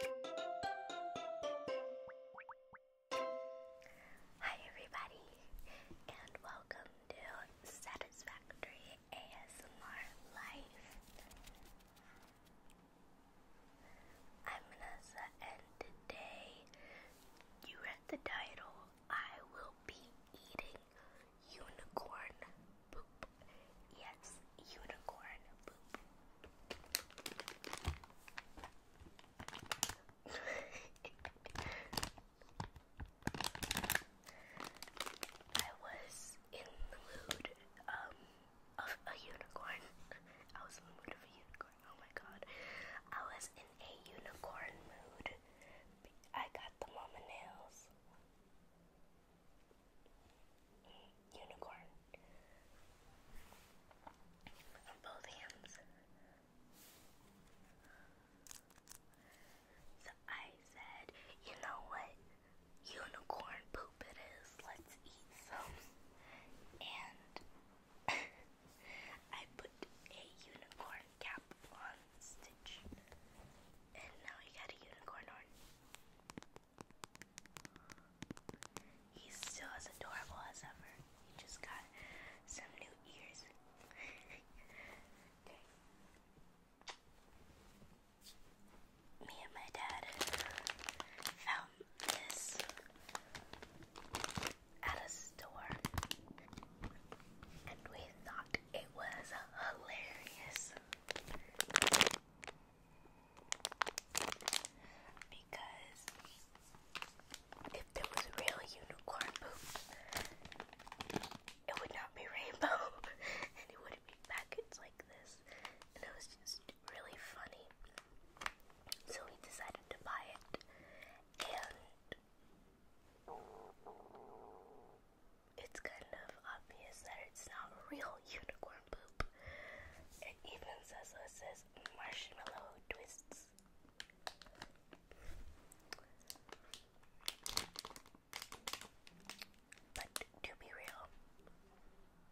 Hi, everybody, and welcome to Satisfactory ASMR Life. I'm Vanessa, and today you read the title I Will Be Eating Unicorn Poop. Yes, unicorn poop. I was in the mood um, of a unicorn. I was in the mood of a unicorn. Oh my god. I was in a unicorn mood. I got the mama nails. Unicorn. both hands. So I said, you know what? Unicorn poop it is. Let's eat some. And I put a unicorn cap on Stitch. And now he got a unicorn horn. He's still as adorable as ever. He just got some new ears. Me and my dad found this at a store, and we thought it was hilarious. Because if there was real unicorn poop, it would not be rainbow and it wouldn't be packets like this. And it was just really funny. So we decided to buy it. And it's kind of obvious that it's not real unicorn poop. It even says it says marshmallow twists. But to be real,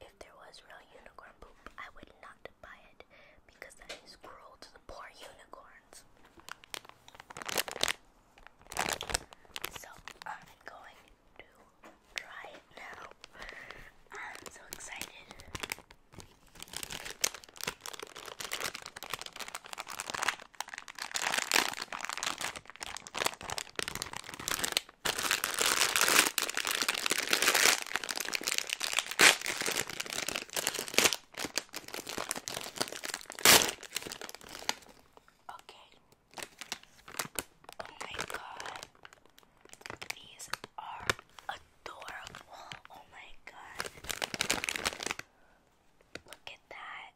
if there was real unicorn poop, I would not buy it because that is cruel to the poor unicorns. So I'm going to try it now. I'm so excited. Okay, Oh my god. These are adorable. Oh my god. Look at that.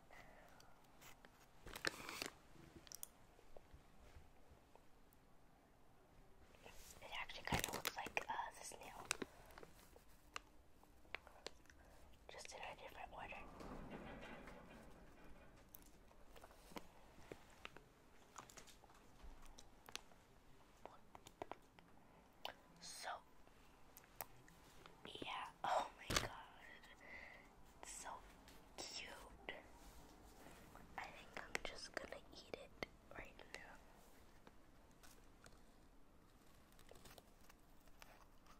It actually kind of looks like uh, this Just in a different order. So, yeah, oh my god, it's so cute. I think I'm just gonna eat it right now.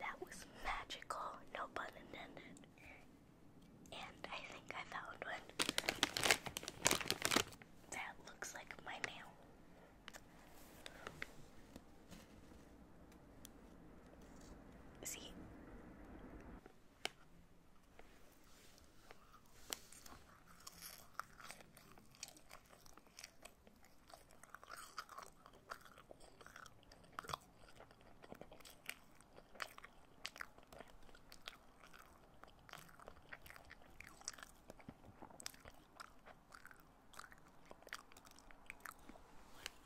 that was magical, no pun intended. And I think I found one that looks like my nail. See?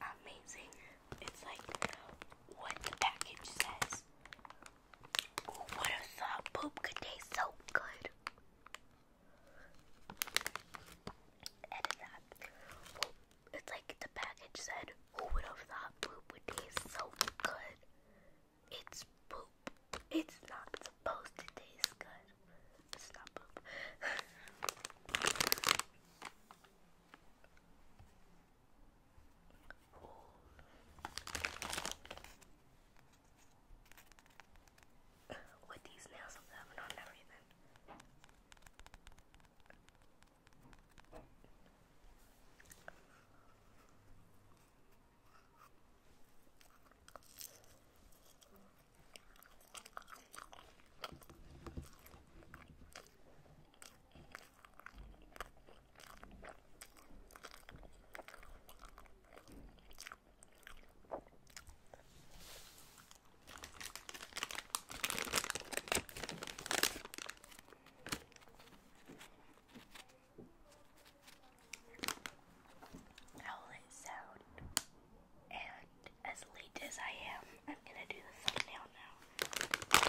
Amazing. It's like what the package says. Who would have thought poop could taste so good? Edit that. it's like the package said, who would have thought poop would taste so good? It's poop. It's not supposed to taste good. It's not poop with these nails of them and on everything. How will sound? And as late as I am, I'm gonna do the thumbnail now.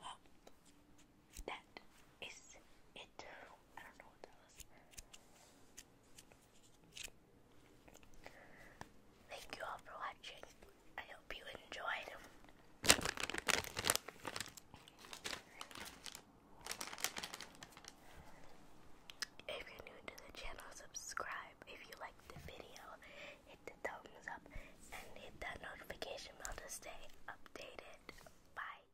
well, that is it Thank you all for watching. I hope you enjoyed. If you're new to the channel, subscribe. If you liked the video, hit the thumbs up and hit that notification bell to stay updated. Bye.